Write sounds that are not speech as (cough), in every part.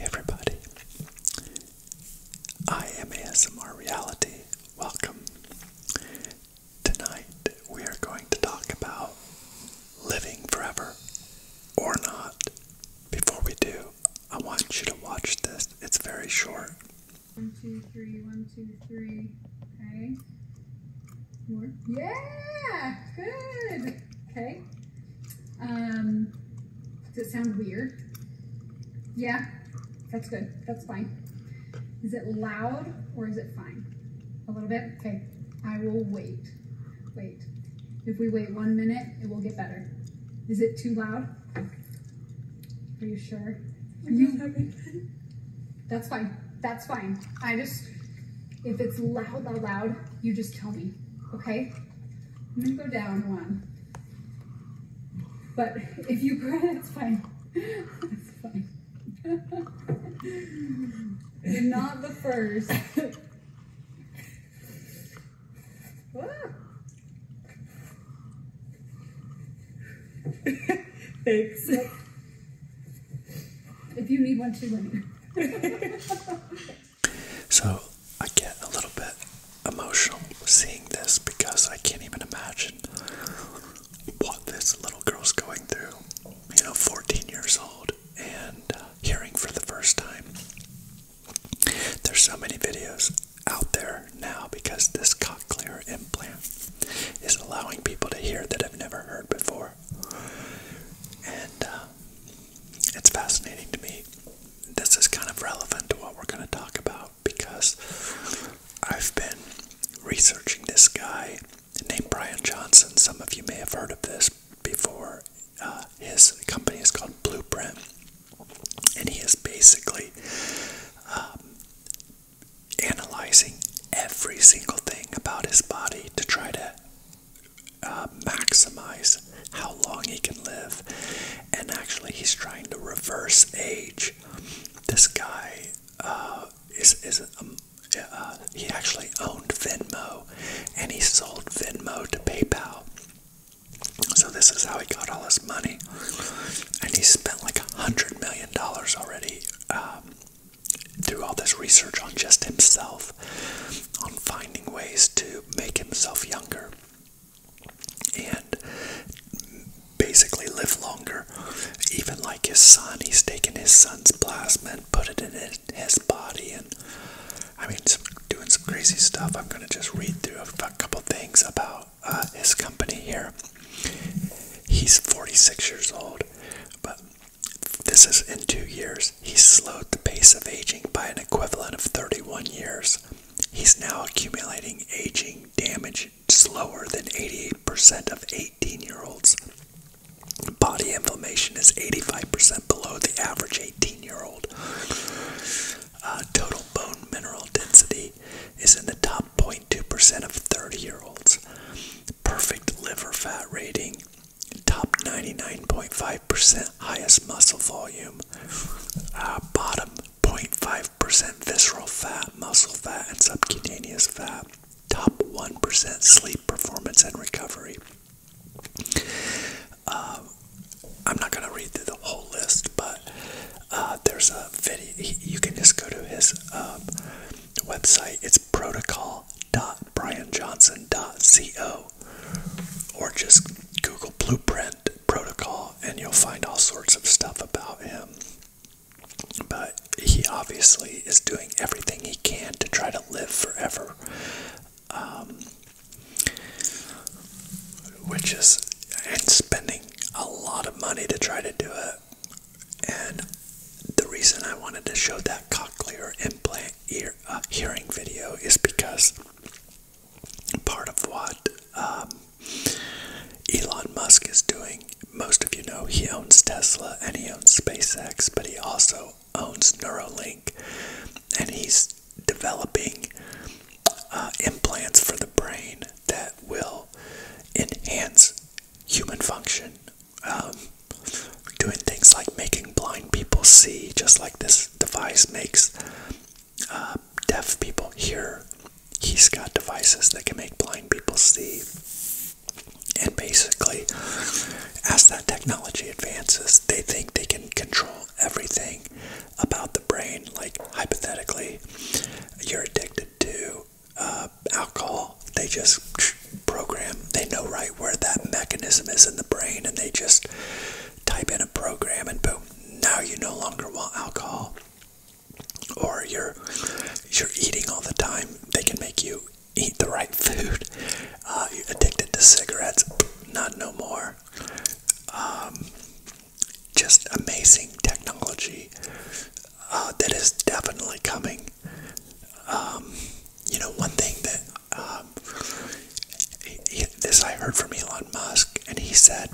everybody, I am ASMR Reality. Welcome. Tonight we are going to talk about living forever or not. Before we do, I want you to watch this. It's very short. One, two, three, one, two, three. Okay. More. Yeah! Good! Okay. Um, does it sound weird? Yeah, that's good. That's fine. Is it loud or is it fine? A little bit? Okay. I will wait. Wait. If we wait one minute, it will get better. Is it too loud? Are you sure? that's fine. That's fine. I just, if it's loud, loud, loud, you just tell me, okay? I'm gonna go down one. But if you cry, that's fine. It's fine. You're not the first. (laughs) Thanks. If you need one too, let (laughs) So I get a little bit emotional seeing this because I can't even imagine what this little girl's going through. You know, 14 years old and uh, hearing for the first time. There's so many videos out there now because this cochlear implant is allowing people to hear that I've never heard before. And uh, it's fascinating to me. This is kind of relevant to what we're going to talk about because I've been researching this guy named Brian Johnson. Some of you may have heard of this before. Uh, his company is called Blueprint, and he is basically um, analyzing every single thing about his body to try to uh, maximize how long he can live. And actually, he's trying to reverse age. This guy uh, is, is um, uh, he actually owned Venmo and he sold Venmo to PayPal. So, this is how he got all his money and he spent like a hundred million dollars already um, through all this research on just himself, on finding ways to make himself younger and basically live longer. Even like his son, he's taken his son's plasma and put it in his body, and I mean, doing some crazy stuff. I'm gonna just read through a couple things about uh, his company here. He's 46 years old, but this is in two years. He slowed the pace of aging by an equivalent of 31 years. He's now accumulating aging damage slower than 88% of 18 year olds. Body inflammation is 85% below the average 18 year old. Uh, total bone mineral density is in the top point. Two percent of 30 year olds. Perfect liver fat rating, top 99.5% highest muscle volume, uh, bottom 0.5% visceral fat, muscle fat, and subcutaneous fat, top 1% sleep performance and recovery. Uh, I'm not going to read through the whole list, but. Uh, uh, there's a video. you can just go to his um, website. It's protocol.brianjohnson.co, or just Google Blueprint Protocol, and you'll find all sorts of stuff about him. But he obviously is doing everything he can to try to live forever, um, which is and spending a lot of money to try to do it. And the reason I wanted to show that cochlear implant ear uh, hearing video is because part of what um, Elon Musk is doing, most of you know he owns Tesla and he owns SpaceX, but he also owns Neuralink and he's developing uh, implants for the brain that will enhance human function. Um, doing things like making blind people see, just like this device makes uh, deaf people hear. He's got devices that can make blind people see. And basically, as that technology advances, they think they can control everything about the brain. Like, hypothetically, you're addicted to uh, alcohol. They just program. They know right where that mechanism is in the brain, and they just type in a program, and boom. Now you no longer want alcohol, or you're you're eating all the time. They can make you eat the right (laughs) food. Uh, you're addicted to cigarettes. Not no more. Um, just amazing technology uh, that is definitely coming. Um, you know, one thing that um, this I heard from Elon Musk, and he said,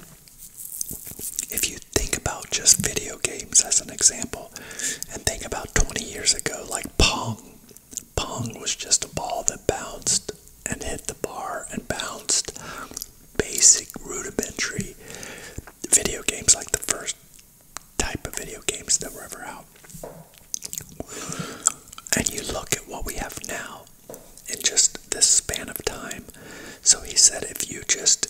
if you think about just video games as an example, and think about 20 years ago, like Pong, Pong was just a ball that bounced and hit the bar and bounced. Basic rudimentary video games, like the first type of video games that were ever out. And you look at what we have now in just this span of time. So he said, if you just,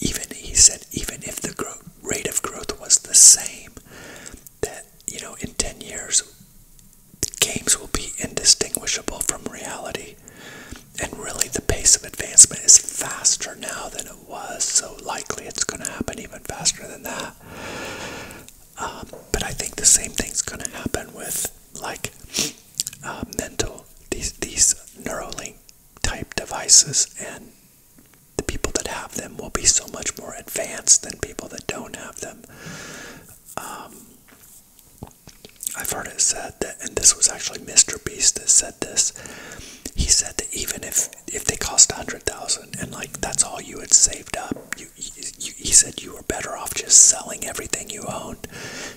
even he said, even if the growth, rate of growth was the same, that, you know, in 10 years, games will be indistinguishable from reality. And really, the pace of advancement is faster now than it was, so likely it's going to happen even faster than that. Um, but I think the same thing's going to happen with like uh, mental these these Neuralink type devices, and the people that have them will be so much more advanced than people that don't have them. Um, I've heard it said that, and this was actually Mr. Beast that said this. He said that even if if they cost a hundred thousand, and like that's all you had saved up, he said you were better off just selling everything you owned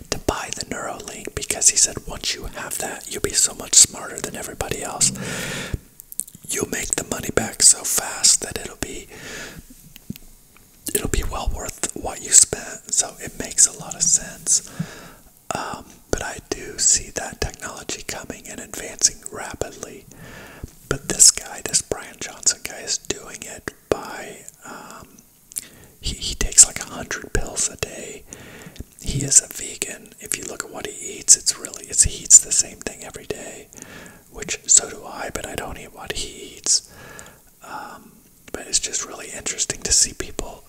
to buy the Neuralink because he said once you have that, you'll be so much smarter than everybody else. You'll make the money back so fast that it'll be it'll be well worth what you spent. So it makes a lot of sense. Um, but I do see that technology coming and advancing rapidly. But this guy, this Brian Johnson guy, is doing it by um, he, takes like a hundred pills a day. He is a vegan. If you look at what he eats, it's really it's he eats the same thing every day, which so do I. But I don't eat what he eats. Um, but it's just really interesting to see people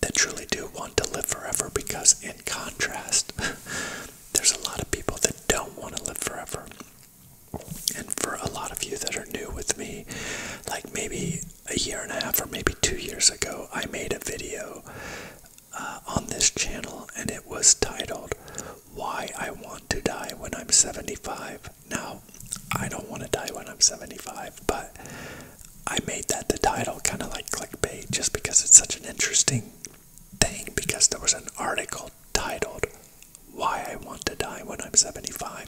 that truly do want to live forever because, in contrast, (laughs) there's a lot of people that don't want to live forever. And for a lot of you that are new with me, like maybe a year and a half or maybe two years ago, I made a video uh, on this channel and it was titled Why I Want to Die When I'm 75. Now, I don't want to die when I'm 75, but I made that the title kind of like clickbait just because it's such an interesting thing because there was an article titled Why I Want to Die When I'm 75.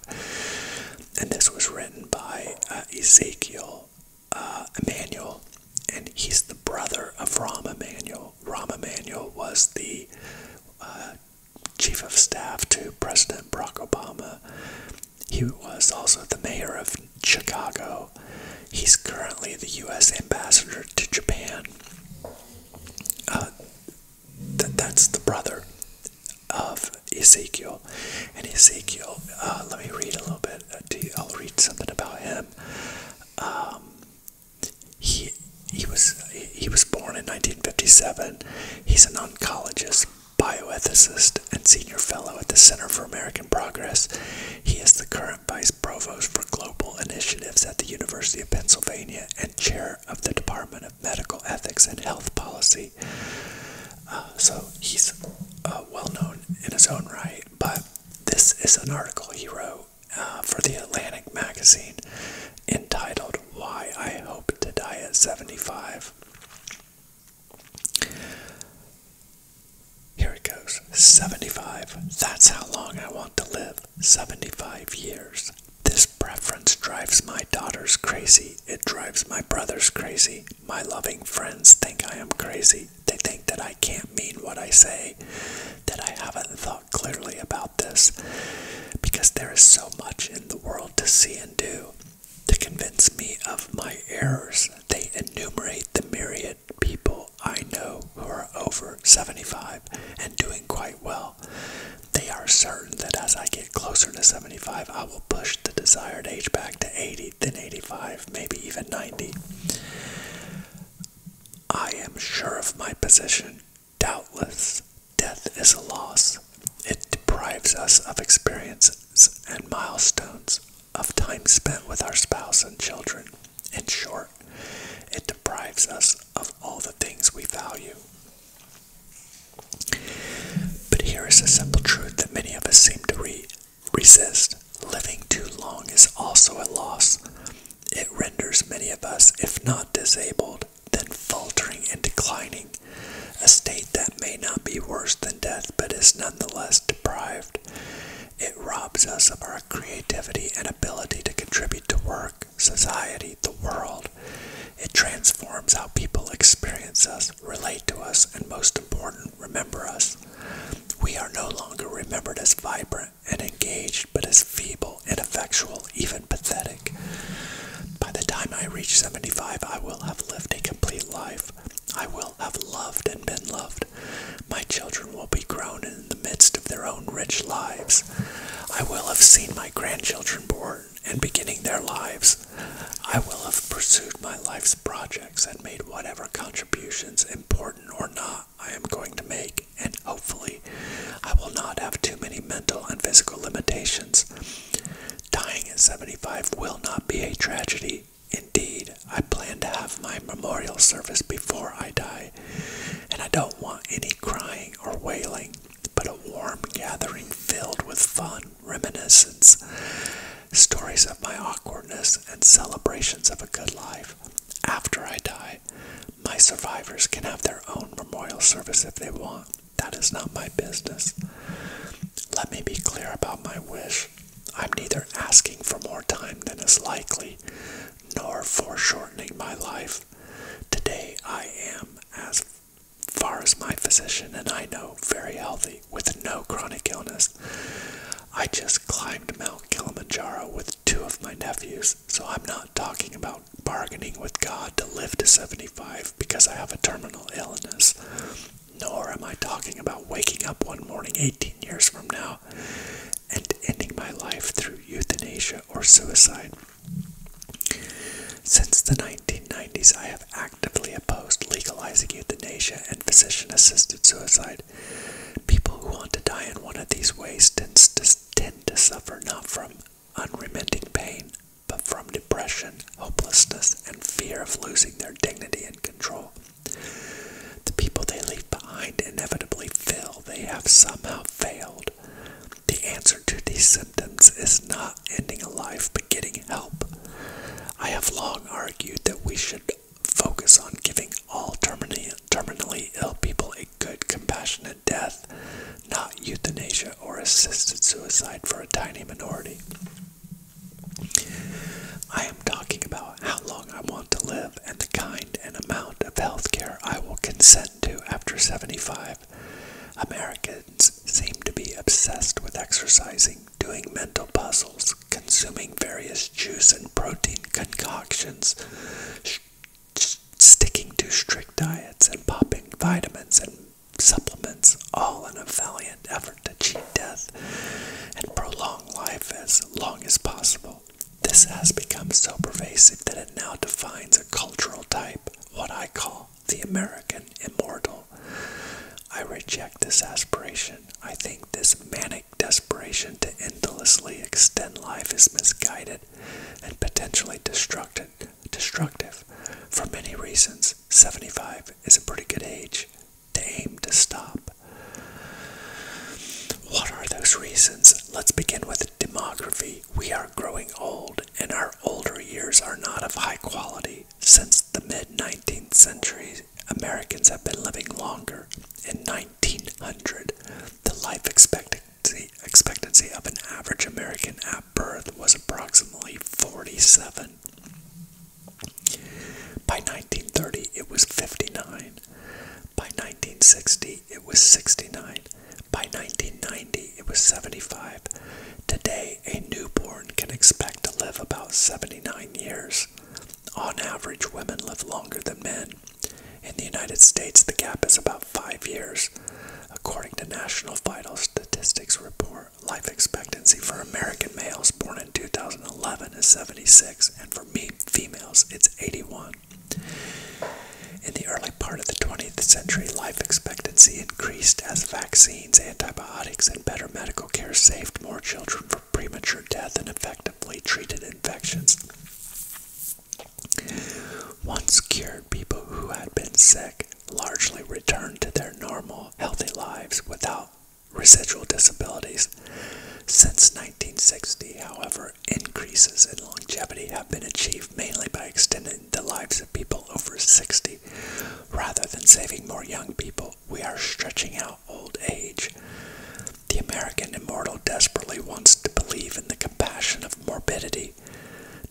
And this was written by uh, Ezekiel uh, Emanuel, and he's the brother of Rahm Emanuel. Rahm Emanuel was the uh, chief of staff to President Barack Obama he was also the mayor of Chicago. He's currently the U.S. ambassador to Japan. Uh, that's the brother of Ezekiel. And Ezekiel, uh, let me read a little bit. Uh, to you. I'll read something about him. Um, he he was he was born in 1957. He's an oncologist bioethicist and senior fellow at the Center for American Progress. He is the current vice provost for global initiatives at the University of Pennsylvania and chair of the Department of Medical Ethics and Health Policy. Uh, so he's uh, well known in his own right, but this is an article he wrote uh, for the Atlantic magazine entitled Why I Hope to Die at 75. Here it goes 75. That's how long I want to live 75 years. This preference drives my daughters crazy. It drives my brothers crazy. My loving friends think I am crazy. They think that I can't mean what I say, that I haven't thought clearly about this, because there is so much in the world to see and do. To convince me of my errors, they enumerate the myriad people I know who are over 75 and doing quite well. They are certain that as I get closer to 75, I will push the desired age back to 80, then 85, maybe even 90. I am sure of my position. Doubtless, death is a loss. It deprives us of experiences and milestones, of time spent with our spouse and children. In short, it deprives us of all the things we value. But here is a simple truth that many of us seem to resist. Living too long is also a loss. It renders many of us, if not disabled, then faltering and declining a state that may not be worse than death but is nonetheless deprived. It robs us of our creativity and ability to contribute to work, society, the world. It transforms how people experience us, relate to us, and most important, remember us. We are no longer remembered as vibrant and engaged, but as feeble, ineffectual, even pathetic. By the time I reach 75, I will have lived a complete life. I will have loved and been loved. My children will be grown in the midst of their own rich lives. I will have seen my grandchildren born and beginning their lives. I will have pursued my life's projects and made whatever contributions, important or not, I am going to make, and hopefully, I will not have too many mental and physical limitations. Dying at 75 will not be a tragedy. Indeed, I plan to have my memorial service before I die, and I don't want any crying or wailing, but a warm gathering filled with fun, reminiscence, stories of my awkwardness, and celebrations of a good life. After I die, my survivors can have their own memorial service if they want. That is not my business. Let me be clear about my wish. I'm neither asking for more time than is likely, nor foreshortening my life. Today I am, as far as my physician and I know, very healthy, with no chronic illness. I just climbed Mount Kilimanjaro with two of my nephews, so I'm not talking about bargaining with God to live to 75 because I have a terminal illness. Nor am I talking about waking up one morning 18 years from now and ending my life through euthanasia or suicide. Since the 1990s, I have actively opposed legalizing euthanasia and physician assisted suicide. People who want to die in one of these ways tend to, suffer not from unremitting pain, but from depression, hopelessness, and fear of losing their dignity and control. The people they leave behind inevitably feel they have somehow failed. The answer to these symptoms is not ending a life but getting help. I have long argued that we should focus on giving all terminally ill people a good, compassionate death, not euthanasia or assisted suicide for a tiny minority. I am talking about how long I want to live and the kind and amount of health care I will consent to after 75. Americans seem to be obsessed with exercising, doing mental puzzles, consuming various juice and protein concoctions, sticking to strict diets, and popping vitamins and supplements, all in a valiant effort to cheat death and prolong life as long as possible. This has become so pervasive that it now defines a cultural type, what I call the American immortal. I reject this aspiration. I think this manic desperation to endlessly extend life is misguided and potentially destructive. for many reasons. 75 is a pretty good age to aim to stop. What are those reasons? Let's begin with demography. We are growing old, and our older years are not of high quality. Since the mid 19th century, Americans have been living longer. In 1900, the life expectancy, expectancy of an average American at birth was approximately 47. By 1930, it was 59. By 1960, it was 69. By 1990, it was 75. Today, a newborn can expect to live about 79 years. On average, women live longer than men. In the United States, the gap is about five years, according to National Vital Statistics Report Life expectancy for American males born in 2011 is 76, and for me, females, it's 81. In the early part of the 20th century, life expectancy increased as vaccines, antibiotics, and better medical care saved more children from premature death and effectively treated infections. Once cured, people who had been sick largely returned to their normal, healthy lives without residual disabilities. Since 1960, however, increases in longevity have been achieved mainly by extending the lives of people over 60. Rather than saving more young people, we are stretching out old age. The American immortal desperately wants to believe in the compassion of morbidity.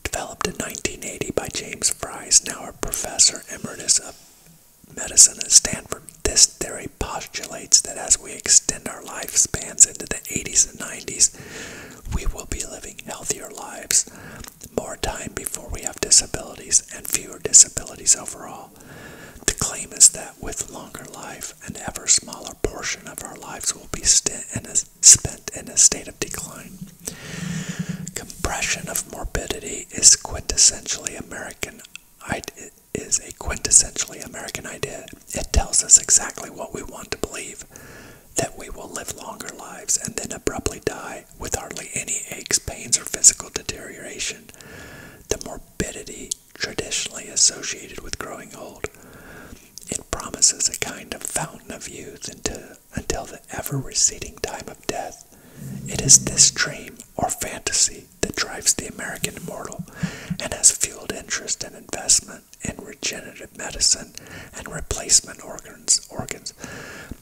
Developed in 1980 by James Fries, now a professor Professor Emeritus of Medicine at Stanford. This theory postulates that as we extend our lifespans into the 80s and 90s, we will be living healthier lives, more time before we have disabilities, and fewer disabilities overall. The claim is that with longer life, an ever smaller portion of our lives will be spent in a state of decline. Compression of morbidity is quintessentially American. It is a quintessentially American idea. It tells us exactly what we want to believe that we will live longer lives and then abruptly die with hardly any aches, pains, or physical deterioration. The morbidity traditionally associated with growing old. It promises a kind of fountain of youth into until the ever receding time of death. It is this dream or fantasy that drives the American immortal and has fueled interest and investment in regenerative medicine and replacement organs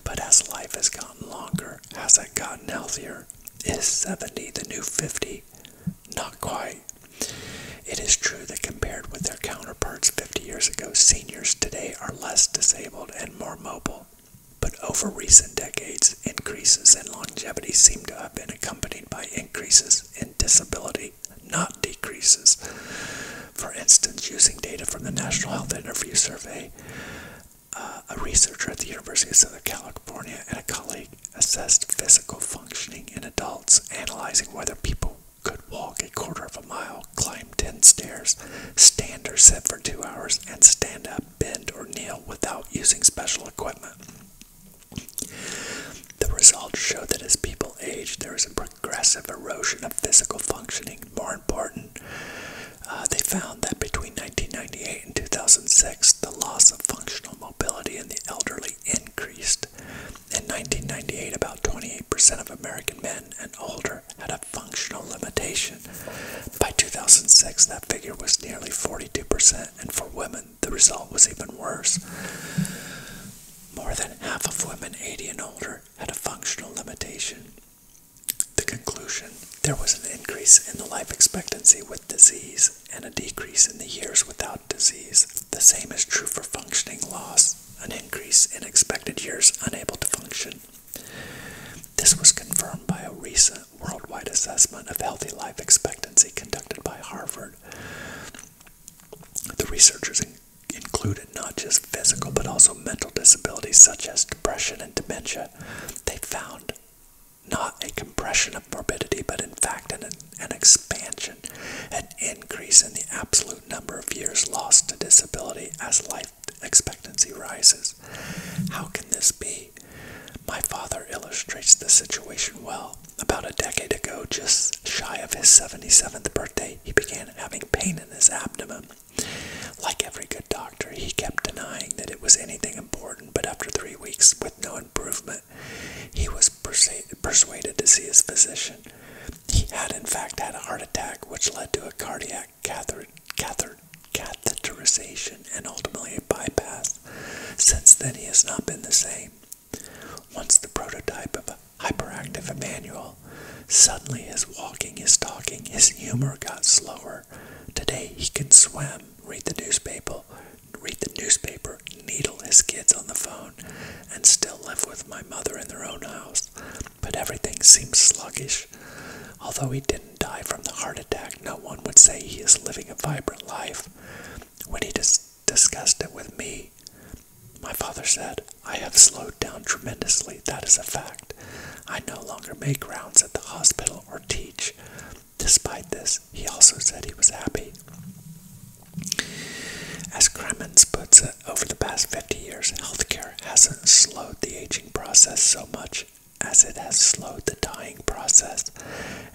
But as life has gotten longer, has it gotten healthier? Is 70 the new 50? Not quite. It is true that compared with their counterparts 50 years ago, seniors today are less disabled and more mobile. But over recent decades, increases in longevity seem to have been accompanied by increases in disability, not decreases. For instance, using data from the National Health Interview Survey, uh, a researcher at the University of Southern California and a colleague assessed physical functioning in adults, analyzing whether people could walk a quarter of a mile climb 10 stairs, stand or sit for 2 hours, and stand up, bend, or kneel without using special equipment. The results showed that as people age, there is a progressive erosion of physical functioning. More important, uh, they found that between 1998 and 2006, the loss of functional mobility in the elderly increased. In 1998, about 28% of American men and older had a functional limitation. By 2006, that figure was nearly 42%, and for women, the result was even worse. More than half of women 80 and older had a functional limitation. The conclusion there was an increase in the life expectancy with disease and a decrease in the years without disease. The same is true for functioning loss, an increase in expected years unable to function. This was confirmed by a recent worldwide assessment of healthy life expectancy conducted by Harvard. The researchers included not just physical but also mental disabilities such as depression and dementia. They found not a compression of morbidity, but in fact an, an expansion, an increase in the absolute number of years lost to disability as life expectancy rises. How can this be? My father illustrates the situation well. About a decade ago, just shy of his 77th birthday, he began having pain in his abdomen. Like every good doctor, he kept denying that it was anything important, but after three weeks with no improvement, he was persuaded to see his physician. He had, in fact, had a heart attack, which led to a cardiac catheterization and ultimately a bypass. Since then, he has not been the same. Once the prototype of a hyperactive Emmanuel, suddenly his walking, his talking, his humor got slower. Today, he can swim, read the newspaper, read the newspaper, needle his kids on the phone, and still live with my mother in their own house but everything seems sluggish. Although he didn't die from the heart attack, no one would say he is living a vibrant life. When he discussed it with me, my father said, I have slowed down tremendously, that is a fact. I no longer make rounds at the hospital or teach. Despite this, he also said he was happy. As Kremens puts it, over the past 50 years, healthcare hasn't slowed the aging process so much as it has slowed the dying process.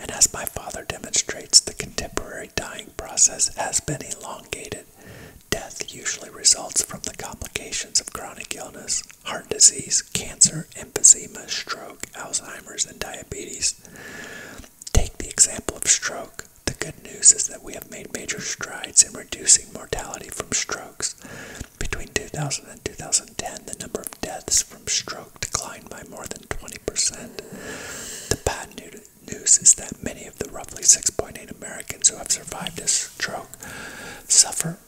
And as my father demonstrates, the contemporary dying process has been elongated. Death usually results from the complications of chronic illness, heart disease, cancer, emphysema, stroke, Alzheimer's, and diabetes. Take the example of stroke. The good news is that we have made major strides in reducing mortality from strokes. Between 2000 and 2010, the number of deaths from stroke declined by more than 20%. The bad news is that many of the roughly 6.8 Americans who have survived a stroke suffer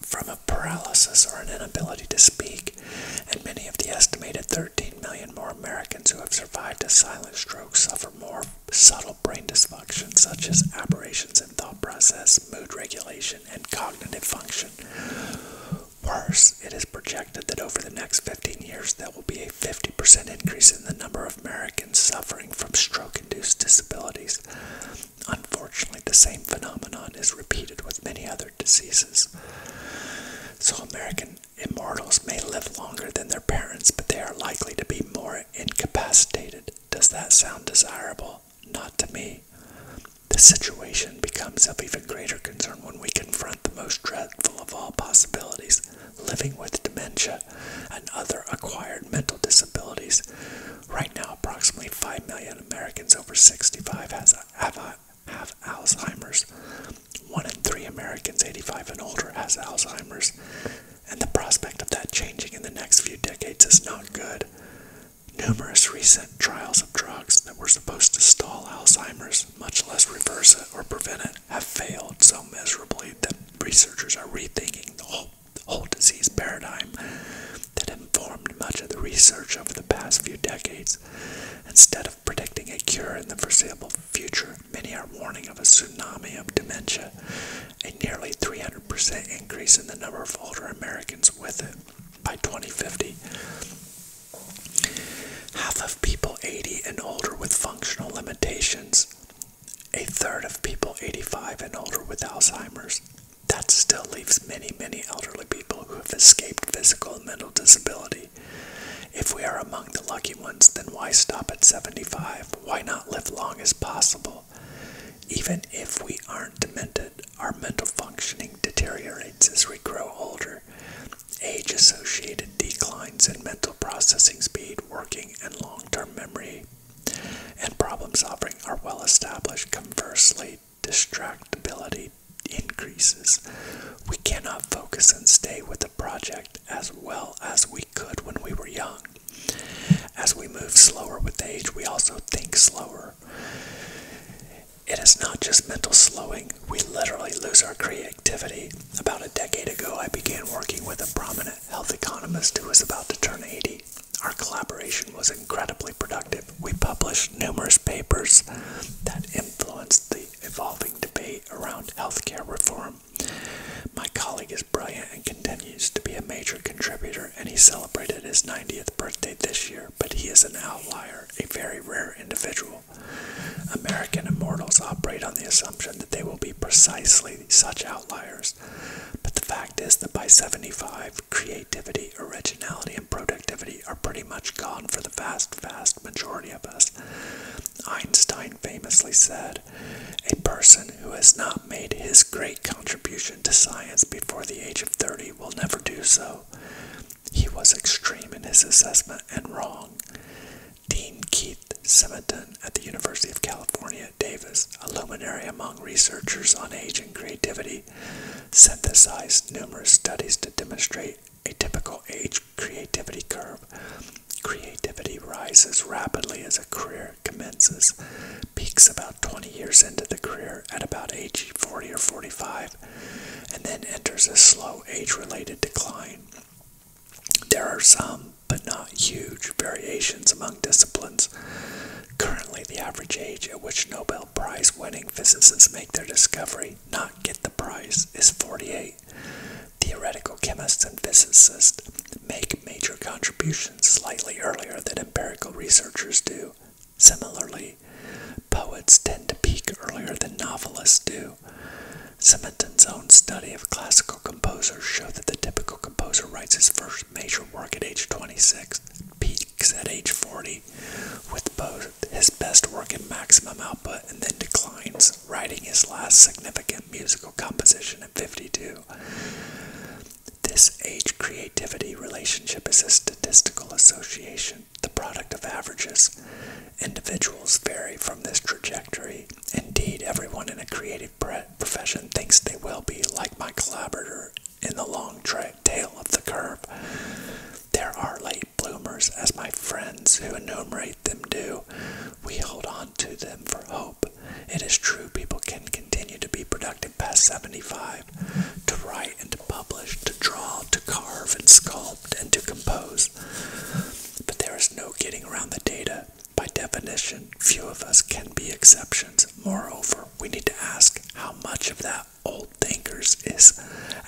from a paralysis or an inability to speak, and many of the estimated 13 million more Americans who have survived a silent stroke suffer more subtle brain dysfunction such as aberrations in thought process, mood regulation, and cognitive function. Worse, it is projected that over the next 15 years there will be a 50% increase in the number of Americans suffering from stroke-induced disabilities. Unfortunately, the same phenomenon is repeated with many other diseases. So American immortals may live longer than their parents, but they are likely to be more incapacitated. Does that sound desirable? Not to me. The situation becomes of even greater concern when we confront the most dreadful of all possibilities living with dementia and other acquired mental disabilities. Right now, approximately 5 million Americans over 65 have Alzheimer's. One in three Americans 85 and older has Alzheimer's and the prospect of that changing in the next few decades is not good. Numerous recent trials of drugs that were supposed to stall Alzheimer's, much less reverse it or prevent it, have failed so miserably that researchers are rethinking the whole, whole disease paradigm that informed much of the research over the past few decades. Instead of predicting a cure in the foreseeable future, many are warning of a tsunami of dementia a nearly 300% increase in the number of older Americans with it by 2050. Half of people 80 and older with functional limitations, a third of people 85 and older with Alzheimer's. That still leaves many, many elderly people who have escaped physical and mental disability. If we are among the lucky ones, then why stop at 75? Why not live long as possible? Even if we aren't demented, our mental functioning deteriorates as we grow older. Age associated declines in mental processing speed, working, and long term memory and problem solving are well established. Conversely, distractibility increases. We cannot focus and stay with a project as well as we could when we were young. As we move slower with age, we also think slower. It is not just mental slowing, we literally lose our creativity. About a decade ago, I began working with a prominent health economist who was about to turn 80. Our collaboration was incredibly productive. We published numerous papers that influenced the evolving debate around healthcare reform. My colleague brilliant and continues to be a major contributor, and he celebrated his 90th birthday this year, but he is an outlier, a very rare individual. American immortals operate on the assumption that they will be precisely such outliers, but the fact is that by 75, creativity, originality, and productivity are pretty much gone for the vast, vast majority of us. Einstein famously said, a person who has not made his great contribution to science before the age of 30 will never do so. He was extreme in his assessment and wrong. Dean Keith Semiton at the University of California Davis, a luminary among researchers on age and creativity, synthesized numerous studies to demonstrate a typical age creativity curve. Creativity rises rapidly as a career commences, peaks about 20 years into the career at about age 40 or 45, and then enters a slow age related decline. There are some, but not huge, variations among disciplines. Currently, the average age at which Nobel Prize winning physicists make their discovery, not get the prize, is 48. Theoretical chemists and physicists make major contributions slightly earlier than empirical researchers do. Similarly, poets tend to peak earlier than novelists do. Simonton's own study of classical composers showed that the typical composer writes his first major work at age 26, peaks at age 40, with both his best work and maximum output, and then declines, writing his last significant musical composition at 52. This age creativity relationship is a statistical association, the product of averages. Individuals vary from this trajectory. Indeed, everyone in a creative profession thinks they will be like my collaborator in the long tail of the curve. There are late bloomers, as my friends who enumerate them do. We hold on to them for hope. It is true people can continue to be productive past 75, to write and to publish, to draw, to carve and sculpt, and to compose. But there is no getting around the data. By definition, few of us can be exceptions. Moreover, we need to ask how much of that old thinkers is,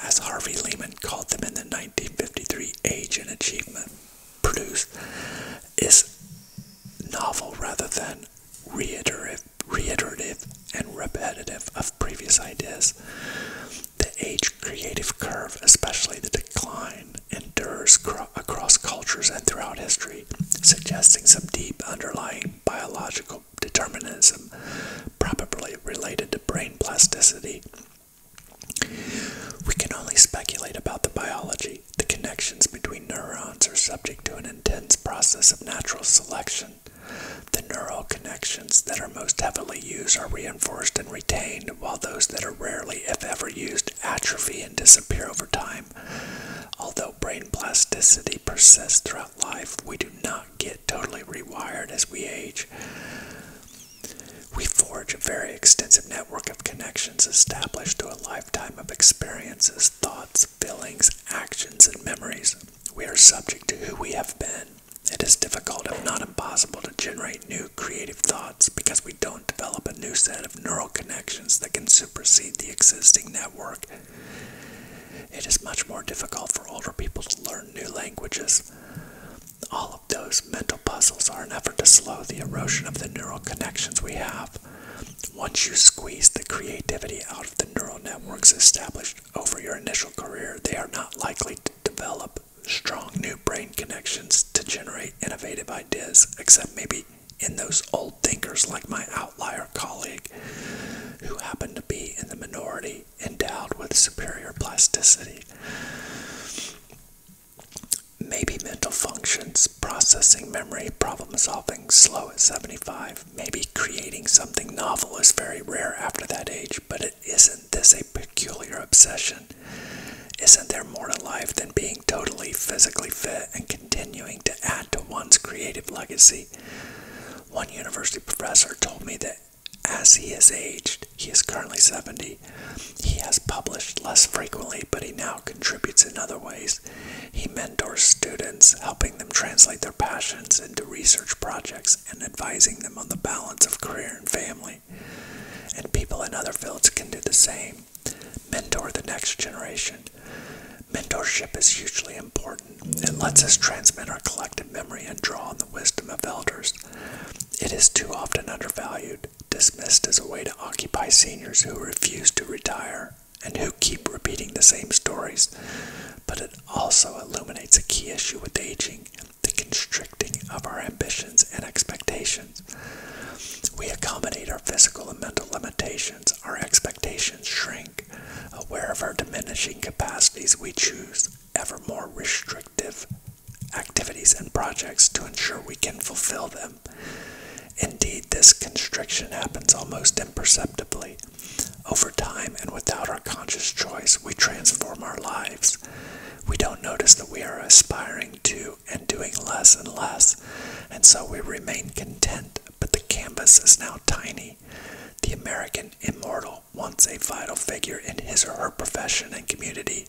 as Harvey Lehman called them in the 1953 Age and Achievement produce is novel rather than reiterative, reiterative and repetitive of previous ideas. The age creative curve, especially the decline, endures across cultures and throughout history, suggesting some deep underlying biological determinism, probably related to brain plasticity. We can only speculate about the biology the connections between neurons are subject to an intense process of natural selection. The neural connections that are most heavily used are reinforced and retained, while those that are rarely, if ever used, atrophy and disappear over time. Although brain plasticity persists throughout life, we do not get totally rewired as we age. We forge a very extensive network of connections established through a life. Time of experiences, thoughts, feelings, actions, and memories. We are subject to who we have been. It is difficult, if not impossible, to generate new creative thoughts because we don't develop a new set of neural connections that can supersede the existing network. It is much more difficult for older people to learn new languages. All of those mental puzzles are an effort to slow the erosion of the neural connections we have once you squeeze the creativity out of the neural networks established over your initial career, they are not likely to develop strong new brain connections to generate innovative ideas, except maybe in those old thinkers like my outlier colleague, who happen to be in the minority endowed with superior plasticity maybe mental functions, processing memory, problem solving, slow at 75. Maybe creating something novel is very rare after that age, but is isn't this a peculiar obsession? Isn't there more to life than being totally physically fit and continuing to add to one's creative legacy? One university professor told me that as he has aged, he is currently 70, he has published less frequently, but he now contributes in other ways. He mentors students, helping them translate their passions into research projects and advising them on the balance of career and family. And people in other fields can do the same. Mentor the next generation. Mentorship is hugely important. It lets us transmit our collective memory and draw on the wisdom of elders. It is too often undervalued, dismissed as a way to occupy seniors who refuse to retire and who keep repeating the same stories, but it also illuminates a key issue with aging the constricting of our ambitions and expectations. We accommodate our physical and mental limitations, our expectations shrink. Aware of our diminishing capacities, we choose ever more restrictive activities and projects to ensure we can fulfill them. Indeed, this constriction happens almost imperceptibly. Over time and without our conscious choice, we transform our lives. We don't notice that we are aspiring to and doing less and less, and so we remain content, but the canvas is now tiny. The American immortal, once a vital figure in his or her profession and community,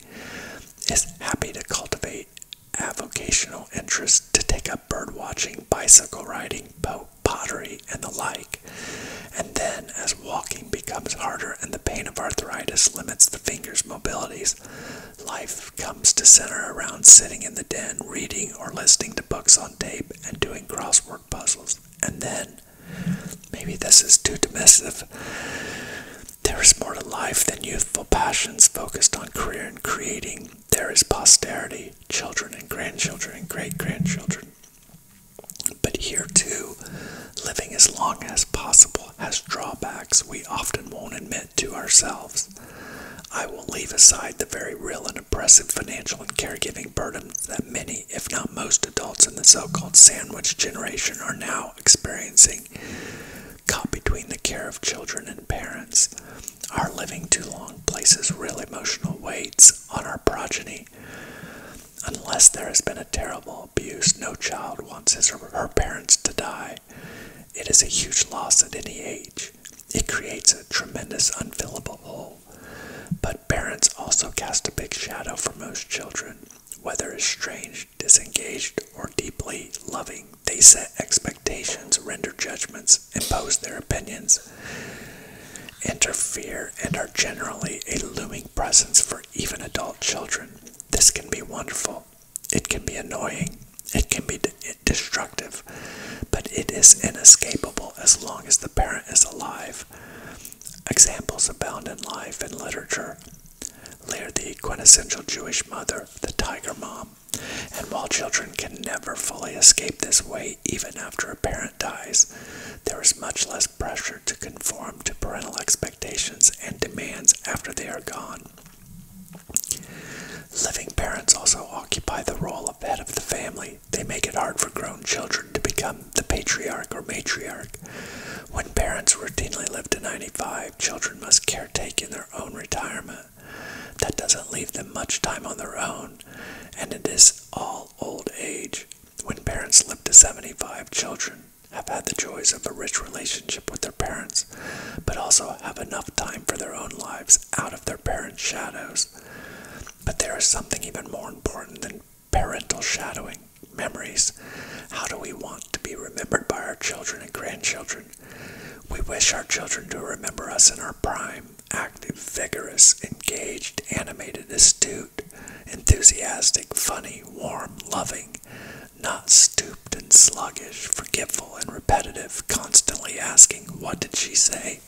is happy to cultivate avocational interests to take up bird watching, bicycle riding, boat, pottery, and the like. And then, as walking becomes harder and the pain of arthritis limits the fingers' mobilities, life comes to center around sitting in the den, reading or listening to books on tape, and doing crossword puzzles. And then, maybe this is too dismissive. There is more to life than youthful passions focused on career and creating there is posterity, children and grandchildren and great grandchildren. But here too, living as long as possible has drawbacks we often won't admit to ourselves. I will leave aside the very real and oppressive financial and caregiving burdens that many, if not most, adults in the so called sandwich generation are now experiencing caught between the care of children and parents, our living too long places real emotional weights on our progeny. Unless there has been a terrible abuse, no child wants his or her parents to die. It is a huge loss at any age. It creates a tremendous unfillable hole. But parents also cast a big shadow for most children, whether strange, disengaged, or deeply loving. They set expectations, render judgments, impose their opinions, interfere, and are generally a looming presence for even adult children. This can be wonderful. It can be annoying. It can be destructive. But it is inescapable as long as the parent is alive. Examples abound in life and literature. Lear, the quintessential Jewish mother, the tiger mom, and while children can never fully escape this way, even after a parent dies, there is much less pressure to conform to parental expectations and demands after they are gone. Living parents also occupy the role of head of the family. They make it hard for grown children to become the patriarch or matriarch. When parents routinely live to 95, children must caretake in their own retirement. That doesn't leave them much time on their own, and it is all old age. When parents live to 75, children have had the joys of a rich relationship with their parents, but also have enough time for their own lives out of their parents' shadows. But there is something even more important than parental shadowing memories. How do we want to be remembered by our children and grandchildren? We wish our children to remember us in our prime, active, vigorous, engaged, animated, astute, enthusiastic, funny, warm, loving, not stooped and sluggish, forgetful and repetitive, constantly asking, What did she say?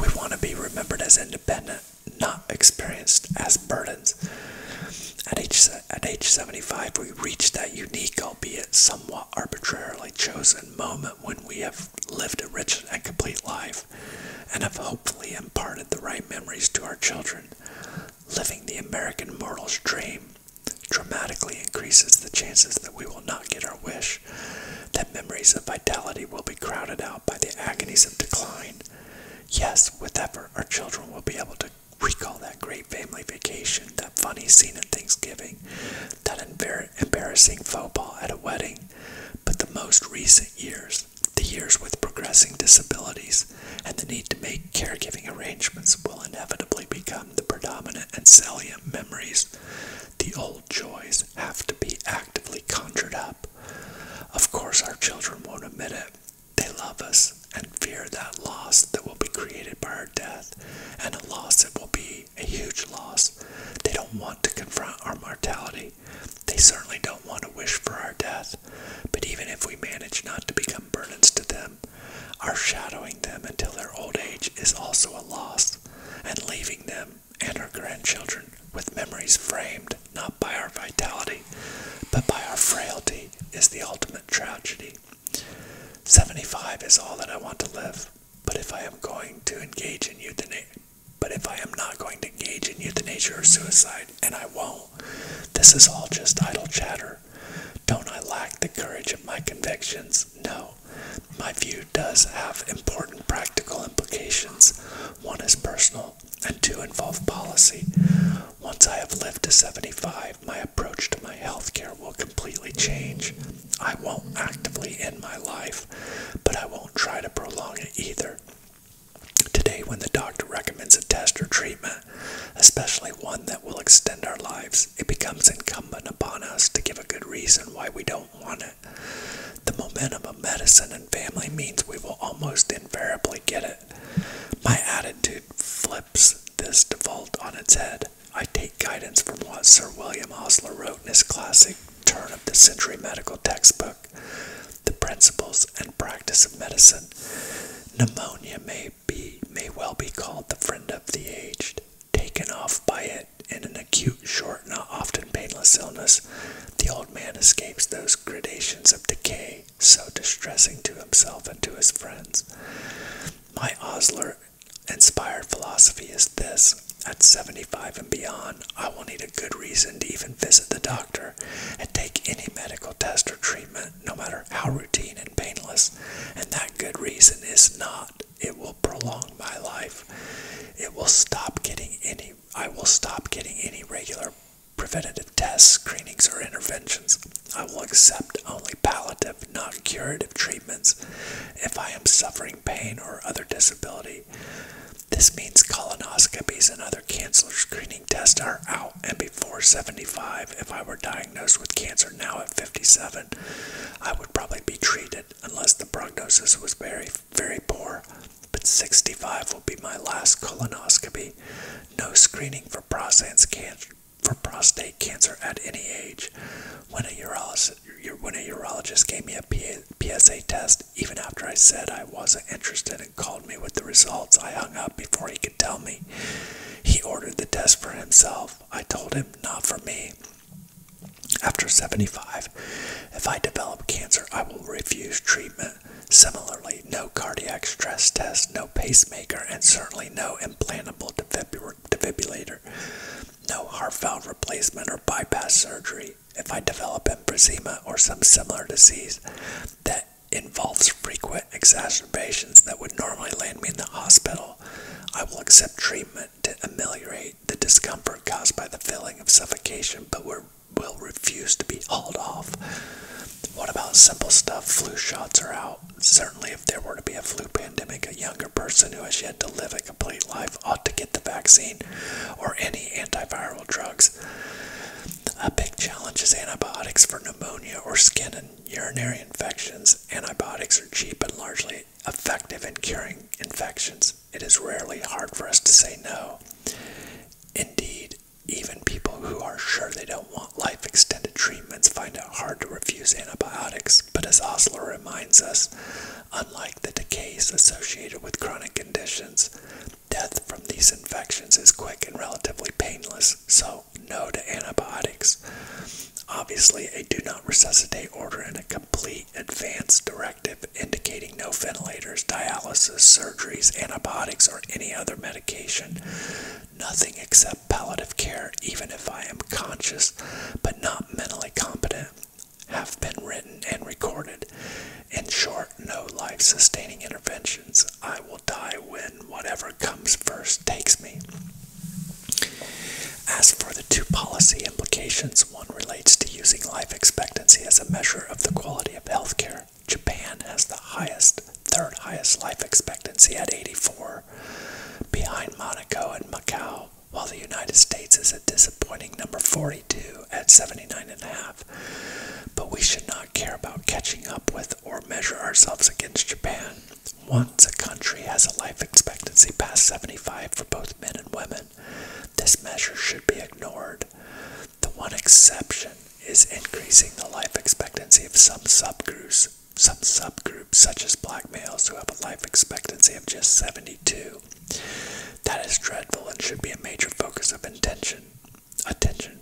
We want to be remembered as independent, not experienced as burdens. At age, at age 75, we reach that unique, albeit somewhat arbitrarily chosen moment when we have lived a rich and complete life and have hopefully imparted the right memories to our children. Living the American mortal's dream dramatically increases the chances that we will not get our wish, that memories of vitality will be crowded out by the agonies of decline. Yes, with effort, our children will be able to we recall that great family vacation, that funny scene at Thanksgiving, that embarrassing faux pas at a wedding, but the most recent years, the years with progressing disabilities, and the need to make caregiving arrangements will inevitably become the predominant and salient memories. The old joys have to be actively conjured up. Of course, our children won't admit it. They love us and fear that loss that will be created by our death and a loss that will be a huge loss. They don't want to confront our mortality. They certainly don't want to wish for our death. But even if we manage not to become burdens to them, our shadowing them until their old age is also a loss, and leaving them and our grandchildren with memories framed not by our vitality, but by our frailty is the ultimate tragedy. 75 is all that I want to live, but if I am going to engage in euthanasia, but if I am not going to engage in euthanasia or suicide, and I won't, this is all just idle chatter. Don't I lack the courage of my convictions? No. My view does have important practical implications. One is personal, and two involve policy. Once I have lived to 75, my approach to my health care will completely change. I won't actively end my life, but I won't try to prolong it either. Today, when the doctor recommends a test or treatment, especially one that will extend our lives, it becomes incumbent upon us to give a good reason why we don't want it. The momentum of medicine and family means we will almost invariably get it. My attitude flipped this default on its head. I take guidance from what Sir William Osler wrote in his classic turn of the century medical textbook, The Principles and Practice of Medicine. Pneumonia may be may well be called the friend of the aged. Taken off by it in an acute, short, not often painless illness, the old man escapes those gradations of decay so distressing to himself and to his friends. My Osler inspired philosophy is this at 75 and beyond, I will need a good reason to even visit the doctor and take any medical test or treatment, no matter how routine and painless. And that good reason is not, it will prolong my life. It will stop getting any, I will stop getting any regular preventative tests, screenings, or interventions. I will accept only palliative not curative treatments if I am suffering pain or other disability. This means colonoscopies and other cancer screening tests are out and before 75. If I were diagnosed with cancer now at 57, I would probably be treated unless the prognosis was very, very poor. But 65 will be my last colonoscopy. No screening for prostate cancer for prostate cancer at any age. When a urologist, when a urologist gave me a PSA test, even after I said I wasn't interested and called me with the results, I hung up before he could tell me. He ordered the test for himself. I told him, not for me. After 75, if I develop cancer, I will refuse treatment. Similarly, no cardiac stress test, no pacemaker, and certainly no implantable defibrillator defibrillator, no heart valve replacement or bypass surgery. If I develop emphysema or some similar disease that involves frequent exacerbations that would normally land me in the hospital, I will accept treatment to ameliorate the discomfort caused by the feeling of suffocation, but we will refuse to be hauled off. What about simple stuff? Flu shots are out. Certainly, if there were to be a flu pandemic, a younger person who has yet to live a complete life ought to get the vaccine or any antiviral drugs. A big challenge is antibiotics for pneumonia or skin and urinary infections. Antibiotics are cheap and largely effective in curing infections. It is rarely hard for us to say no. Indeed, even people who are sure they don't want life extended treatment treatments find it hard to refuse antibiotics, but as Osler reminds us, unlike the decays associated with chronic conditions, death from these infections is quick and relatively painless, so no to antibiotics. Obviously, a do not resuscitate order and a complete advance directive indicating no ventilators, dialysis, surgeries, antibiotics, or any other medication nothing except palliative care, even if I am conscious but not mentally competent, have been written and recorded. In short, no life sustaining interventions. I will die when whatever comes first takes me. As for the two policy implications, one relates to using life expectancy as a measure of the quality of health care. Japan has the highest, third highest life expectancy at 84 behind Monaco and Macau, while the United States is a disappointing number 42 at 79.5. But we should not care about catching up with or measure ourselves against Japan. Once a country has a life expectancy past 75 for both men and women, this measure should be ignored. The one exception is increasing the life expectancy of some subgroups some subgroups, such as black males, who have a life expectancy of just 72. That is dreadful and should be a major focus of intention. Attention.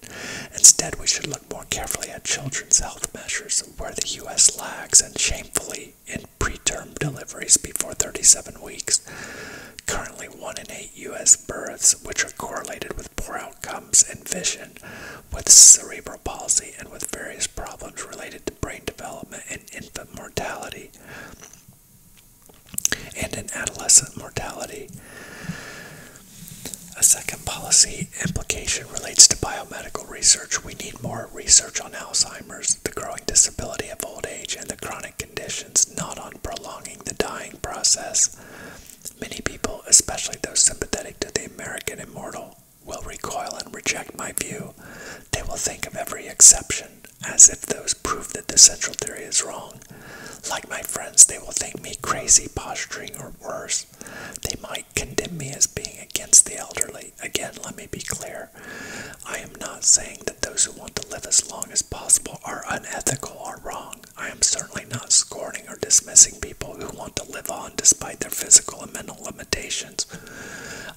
Instead, we should look more carefully at children's health measures, where the U.S. lags and shamefully in preterm deliveries before 37 weeks. Currently, one in eight U.S. births, which are correlated with poor outcomes in vision, with cerebral Policy and with various problems related to brain development and infant mortality and in adolescent mortality. A second policy implication relates to biomedical research. We need more research on Alzheimer's, the growing disability of old age, and the chronic conditions, not on prolonging the dying process. Many people, especially those sympathetic to the American immortal, will recoil and reject my view. They will think of every exception as if those prove that the central theory is wrong. Like my friends, they will think me crazy, posturing, or worse. They might condemn me as being against the elderly. Again, let me be clear. I am not saying that those who want to live as long as possible are unethical or wrong. I am certainly not scorning or dismissing people who want to live on despite their physical and mental limitations.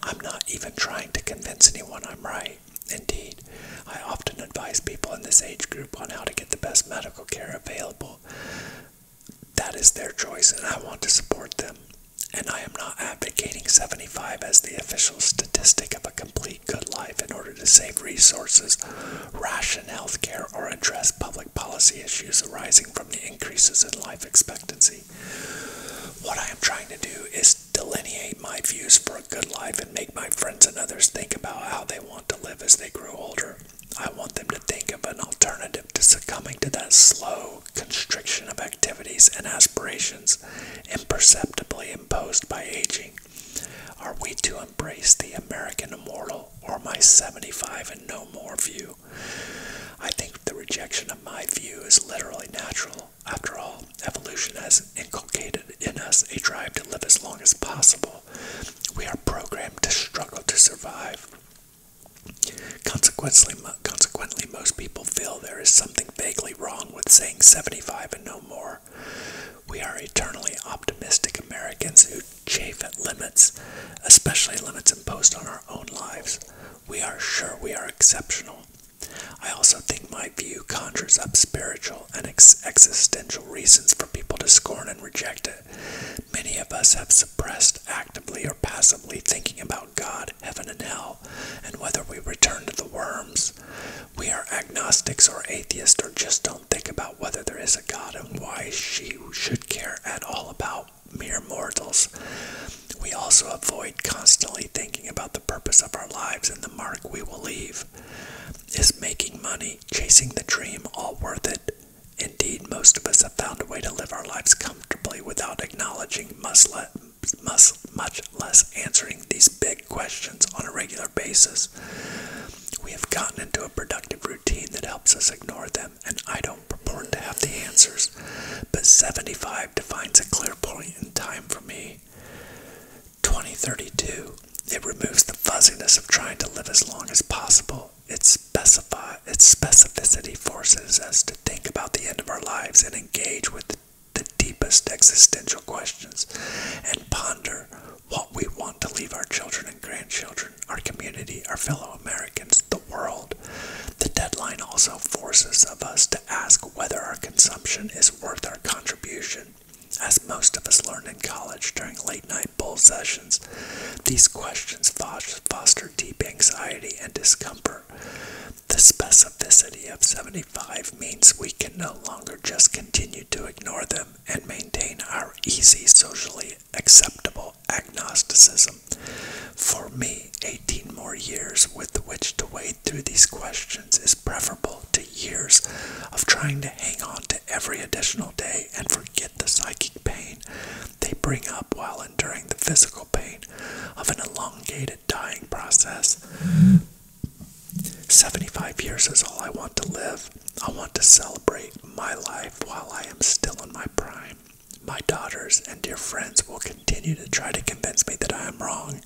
I'm not even trying to convince anyone I'm right. Indeed, I often advise people in this age group on how to get the best medical care available. That is their choice, and I want to support them. And I am not advocating 75 as the official statistic of a complete good life in order to save resources, ration health care, or address public policy issues arising the increases in life expectancy. What I am trying to do is delineate my views for a good life and make my friends and others think about how they want to live as they grow older. I want them to think of an alternative to succumbing to that slow constriction of activities and aspirations imperceptibly imposed by aging. Are we to embrace the American immortal or my 75 and no more view? I think the rejection of my view is literally natural. After all, evolution has inculcated in us a drive to live as long as possible. We are programmed to struggle to survive. Consequently, consequently, most people feel there is something vaguely wrong with saying 75 and no more. We are eternally optimistic Americans who chafe at limits, especially limits imposed on our own lives, we are sure we are exceptional. I also think my view conjures up spiritual and existential reasons for people to scorn and reject it. Many of us have suppressed actively or passively thinking about God, heaven, and hell, and whether we return to the worms. We are agnostics or atheists or just don't think about whether there is a God and why she should care at all about mere mortals. We also avoid constantly thinking about the purpose of our lives and the mark we will leave. Is making money, chasing the dream, all worth it? Indeed, most of us have found a way to live our lives comfortably without acknowledging, much less answering these big questions on a regular basis. We have gotten into a productive routine that helps us ignore them, and I don't account to have the answers, but 75 defines a clear point in time for me. 2032. It removes the fuzziness of trying to live as long as possible. Its, specificity forces us to think about the end of our lives and engage with the deepest existential questions and ponder what we want to leave our children and grandchildren, our community, our fellow Americans, the world. The deadline also forces us to ask whether our consumption is worth our contribution. As most of us learned in college during late night bull sessions, these questions foster deep anxiety and discomfort. The specificity of 75 means we can no longer just continue to ignore them and maintain our easy, socially acceptable agnosticism. For me, 18 more years with which to wade through these questions is preferable to years of trying to hang on to every additional day and forget the psychic pain they bring up while enduring the physical pain of an elongated dying process. 75 years is all I want to live. I want to celebrate my life while I am still in my prime. My daughters and dear friends will continue to try to convince me that I am wrong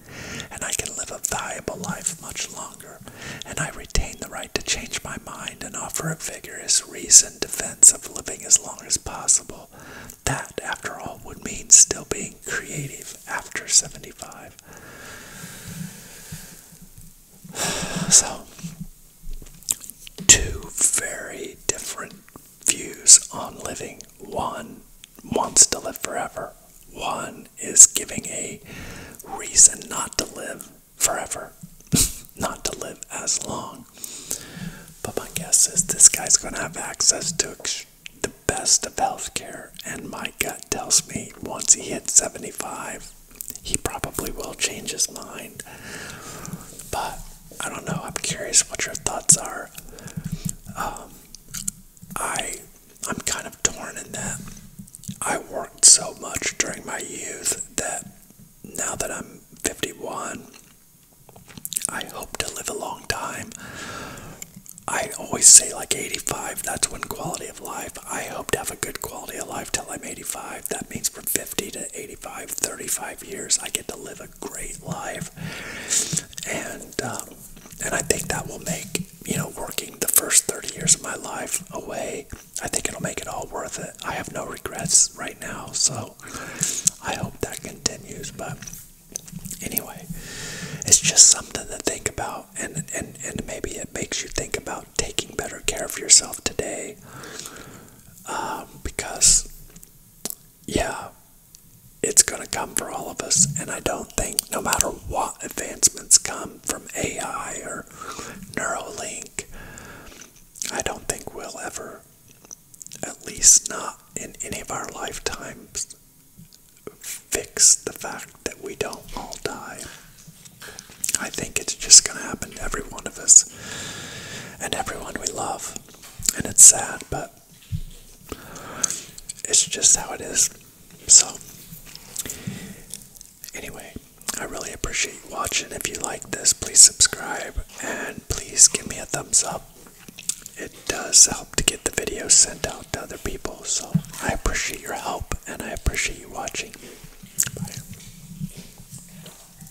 and I can live a valuable life much longer, and I retain the right to change my mind and offer a vigorous, reasoned defense of living as long as possible. That, after all, would mean still being creative after 75. (sighs) So, two very different views on living. One wants to live forever, one is giving a reason not to live forever, (laughs) not to live as long. But my guess is this guy's going to have access to the best of healthcare, and my gut tells me once he hits 75, he probably will change his mind. But I don't know. I'm curious what your thoughts are. Um, I I'm kind of torn in that I worked so much during my youth that now that I'm 51, I hope to live a long time. I always say like 85, that's when quality of life. I hope to have a good quality of life till I'm 85. That means for 50 to 85, 35 years, I get to live a great life. And, um, and I think that will make, you know, working the first 30 years of my life away, I think it'll make it all worth it. I have no regrets right now, so I hope that continues. But anyway, it's just something to think about, and, and, and maybe it makes you think about taking better care of yourself today um, because yeah, it's going to come for all of us. And I don't think, no matter what advancements come from AI or Neuralink, I don't think we'll ever, at least not in any of our lifetimes, fix the fact that we don't all die. I think it's just going to happen to every one of us and everyone we love. And it's sad, but it's just how it is. So, anyway, I really appreciate you watching. If you like this, please subscribe and please give me a thumbs up. It does help to get the video sent out to other people. So, I appreciate your help and I appreciate you watching. Bye.